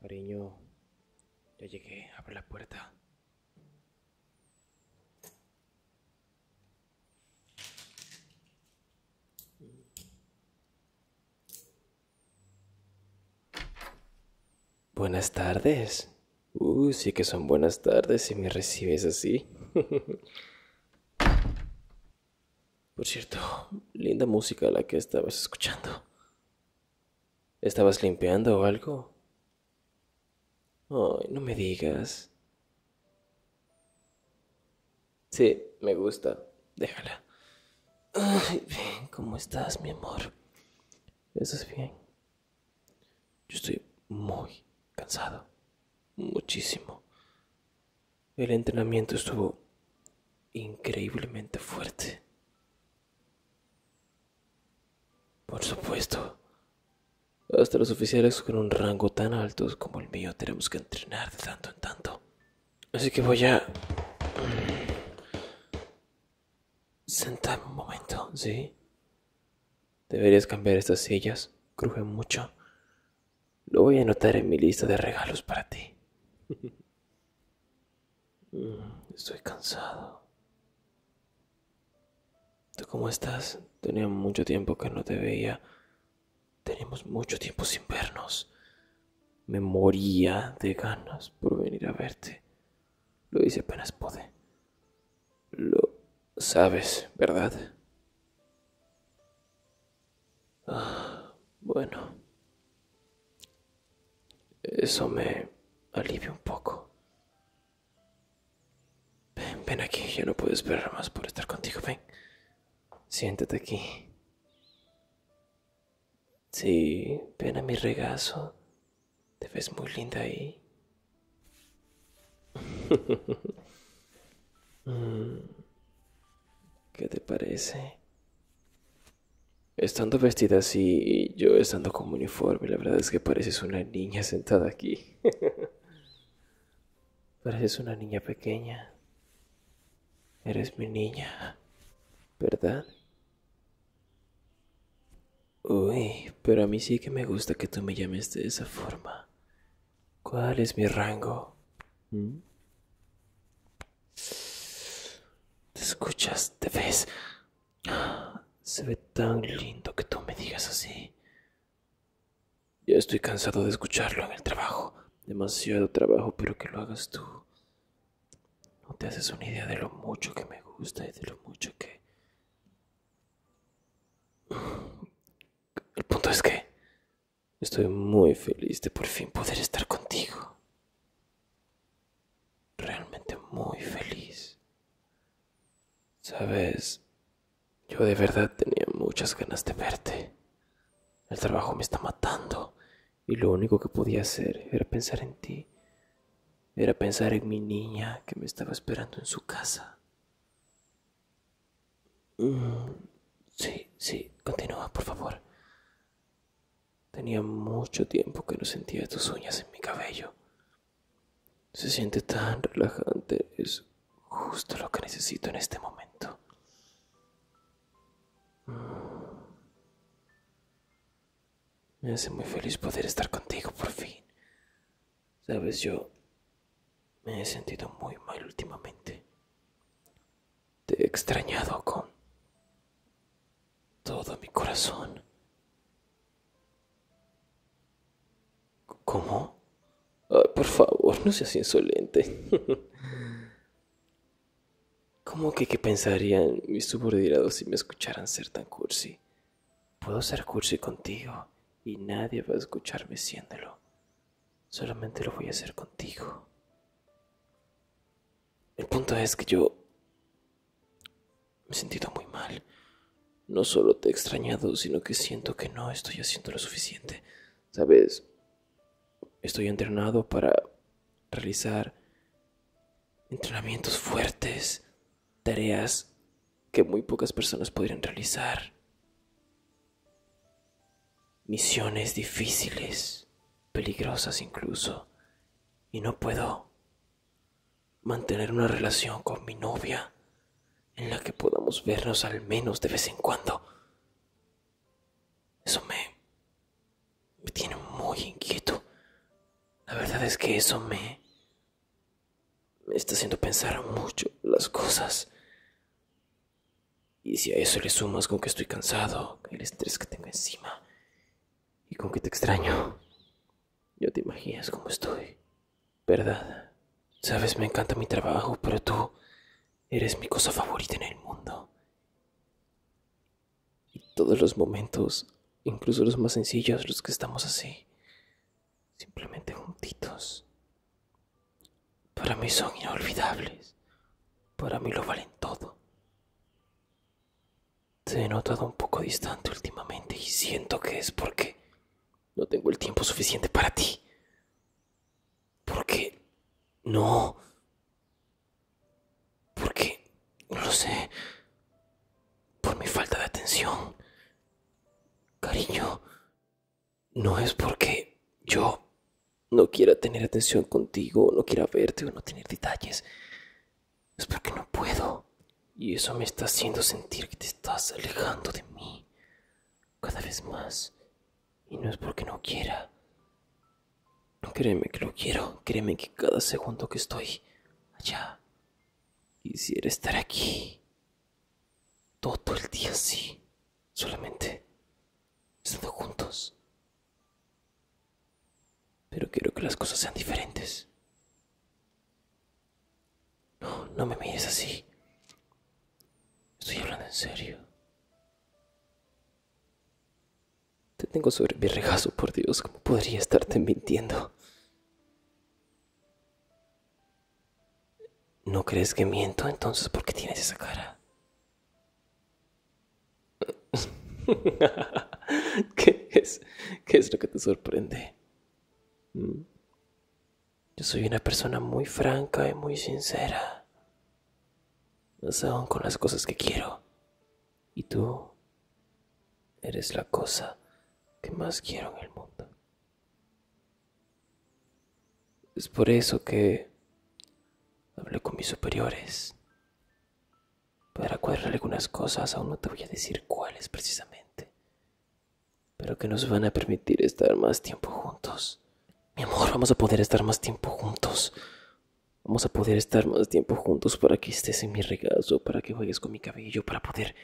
Cariño, ya llegué, abre la puerta. Buenas tardes. Uy, uh, sí que son buenas tardes si me recibes así. Por cierto, linda música la que estabas escuchando. ¿Estabas limpiando o algo? Ay, no me digas. Sí, me gusta. Déjala. Ay, bien, ¿cómo estás, mi amor? Eso es bien? Yo estoy muy cansado, muchísimo. El entrenamiento estuvo increíblemente fuerte. Por supuesto, hasta los oficiales con un rango tan alto como el mío tenemos que entrenar de tanto en tanto. Así que voy a... Senta un momento, ¿sí? Deberías cambiar estas sillas, crujen mucho. Lo voy a anotar en mi lista de regalos para ti. Mm, estoy cansado. ¿Tú cómo estás? Tenía mucho tiempo que no te veía. Tenemos mucho tiempo sin vernos. Me moría de ganas por venir a verte. Lo hice apenas pude. Lo sabes, ¿verdad? Ah, bueno. Eso me alivia un poco. Ven, ven aquí, Ya no puedo esperar más por estar contigo, ven. Siéntate aquí. Sí, ven a mi regazo. Te ves muy linda ahí. Mm. ¿Qué te parece? Estando vestida así y yo estando como uniforme, la verdad es que pareces una niña sentada aquí. pareces una niña pequeña. Eres mi niña, ¿verdad? Uy, pero a mí sí que me gusta que tú me llames de esa forma. ¿Cuál es mi rango? ¿Mm? Te escuchas, te ves. Se ve tan lindo que tú me digas así. Ya estoy cansado de escucharlo en el trabajo. Demasiado trabajo, pero que lo hagas tú. No te haces una idea de lo mucho que me gusta y de lo mucho que... El punto es que estoy muy feliz de por fin poder estar contigo. Realmente muy feliz. Sabes, yo de verdad tenía muchas ganas de verte. El trabajo me está matando y lo único que podía hacer era pensar en ti, era pensar en mi niña que me estaba esperando en su casa. Mm, sí, sí, continúa, por favor. Tenía mucho tiempo que no sentía tus uñas en mi cabello. Se siente tan relajante, es justo lo que necesito en este momento. Me hace muy feliz poder estar contigo por fin. Sabes, yo me he sentido muy mal últimamente. Te he extrañado con todo mi corazón. ¿Cómo? Ay, por favor, no seas insolente. ¿Cómo que qué pensarían mis subordinados si me escucharan ser tan cursi? Puedo ser cursi contigo y nadie va a escucharme siéndolo. Solamente lo voy a hacer contigo. El punto es que yo me he sentido muy mal. No solo te he extrañado, sino que siento que no estoy haciendo lo suficiente. Sabes, Estoy entrenado para realizar entrenamientos fuertes, tareas que muy pocas personas podrían realizar, misiones difíciles, peligrosas incluso, y no puedo mantener una relación con mi novia en la que podamos vernos al menos de vez en cuando. Eso me, me tiene muy inquieto. La verdad es que eso me, me está haciendo pensar mucho las cosas. Y si a eso le sumas con que estoy cansado, el estrés que tengo encima y con que te extraño, ya te imaginas cómo estoy, ¿verdad? Sabes, me encanta mi trabajo, pero tú Eres mi cosa favorita en el mundo. Y todos los momentos, incluso los más sencillos, los que estamos así, simplemente juntitos, para mí son inolvidables. Para mí lo valen todo. Te he notado un poco distante últimamente y siento que es porque no tengo el tiempo suficiente para ti. ¿Por qué? No. ¿Por qué? No lo sé. Por mi falta de atención. Cariño, no es porque yo no quiera tener atención contigo, no quiera verte o no tener detalles. Es porque no puedo. Y eso me está haciendo sentir que te estás alejando de mí cada vez más. Y no es porque no quiera. No Créeme que lo quiero. Créeme que cada segundo que estoy allá, quisiera estar aquí. Todo el día así. Solamente estando juntos. Pero quiero que las cosas sean diferentes. No, no me mires así. Estoy hablando en serio. Te tengo sobre mi regazo, por Dios, ¿cómo podría estarte mintiendo? ¿No crees que miento entonces? ¿Por qué tienes esa cara? ¿Qué es, ¿Qué es lo que te sorprende? ¿Mm? Yo soy una persona muy franca y muy sincera. sé aún con las cosas que quiero. Y tú eres la cosa que más quiero en el mundo. Es por eso que hablé con mis superiores para cuadrar algunas cosas, aún no te voy a decir cuáles precisamente, pero que nos van a permitir estar más tiempo juntos. Mi amor, vamos a poder estar más tiempo juntos. Vamos a poder estar más tiempo juntos para que estés en mi regazo, para que juegues con mi cabello, para poder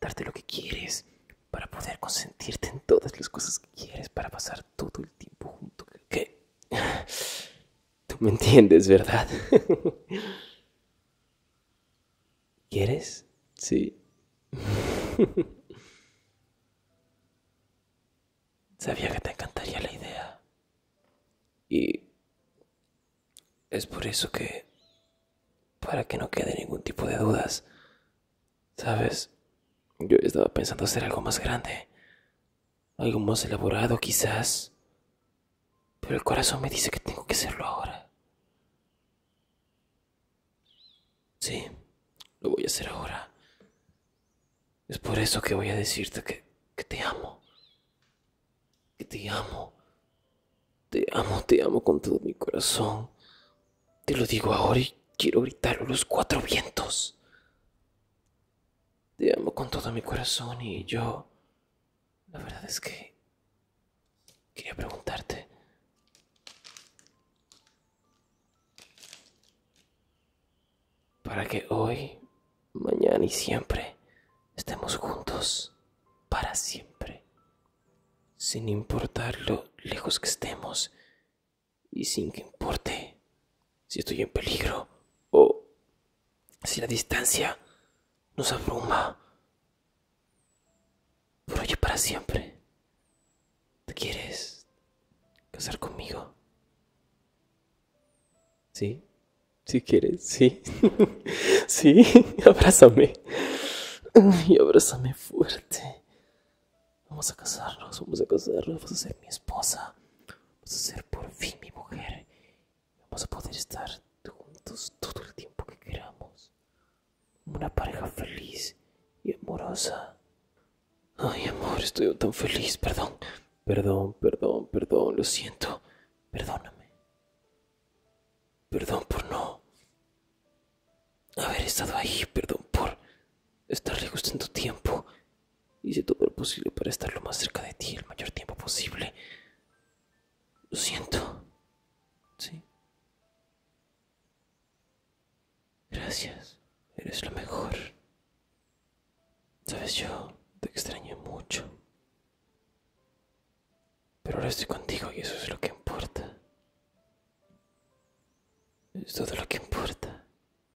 darte lo que quieres, para poder consentirte en todas las cosas que quieres, para pasar todo el tiempo juntos. ¿Qué? Tú me entiendes, ¿verdad? ¿Quieres? Sí. Sabía que te encantaría la idea. Y es por eso que, para que no quede ningún tipo de dudas, ¿sabes? Yo estaba pensando hacer algo más grande, algo más elaborado quizás, pero el corazón me dice que tengo que hacerlo ahora. Sí, lo voy a hacer ahora. Es por eso que voy a decirte que, te amo. Que te amo. Te amo, te amo con todo mi corazón. Te lo digo ahora y quiero gritar los cuatro vientos. Te amo con todo mi corazón y yo... La verdad es que quería preguntarte. Para que hoy, mañana y siempre estemos juntos para siempre. Sin importar lo lejos que estemos y sin que importe si estoy en peligro o si la distancia nos abruma, por hoy para siempre. ¿Te quieres casar conmigo? Sí, si quieres, sí. sí, abrázame. Y abrázame fuerte. Vamos a casarnos, vamos a casarnos. Vas a ser mi esposa. Vas a ser por fin mi mujer. Vamos a poder estar juntos todo el tiempo que queramos. Una pareja feliz y amorosa. Ay, amor, estoy tan feliz, perdón. Perdón, perdón, perdón, lo siento. Perdóname. Perdón por no haber estado ahí, perdón por estarle gustando tiempo Hice todo lo posible para estar lo más cerca de ti el mayor tiempo posible. Lo siento. Sí. Gracias. Eres lo mejor. Sabes, yo te extrañé mucho. Pero ahora estoy contigo y eso es lo que importa. Es todo lo que importa.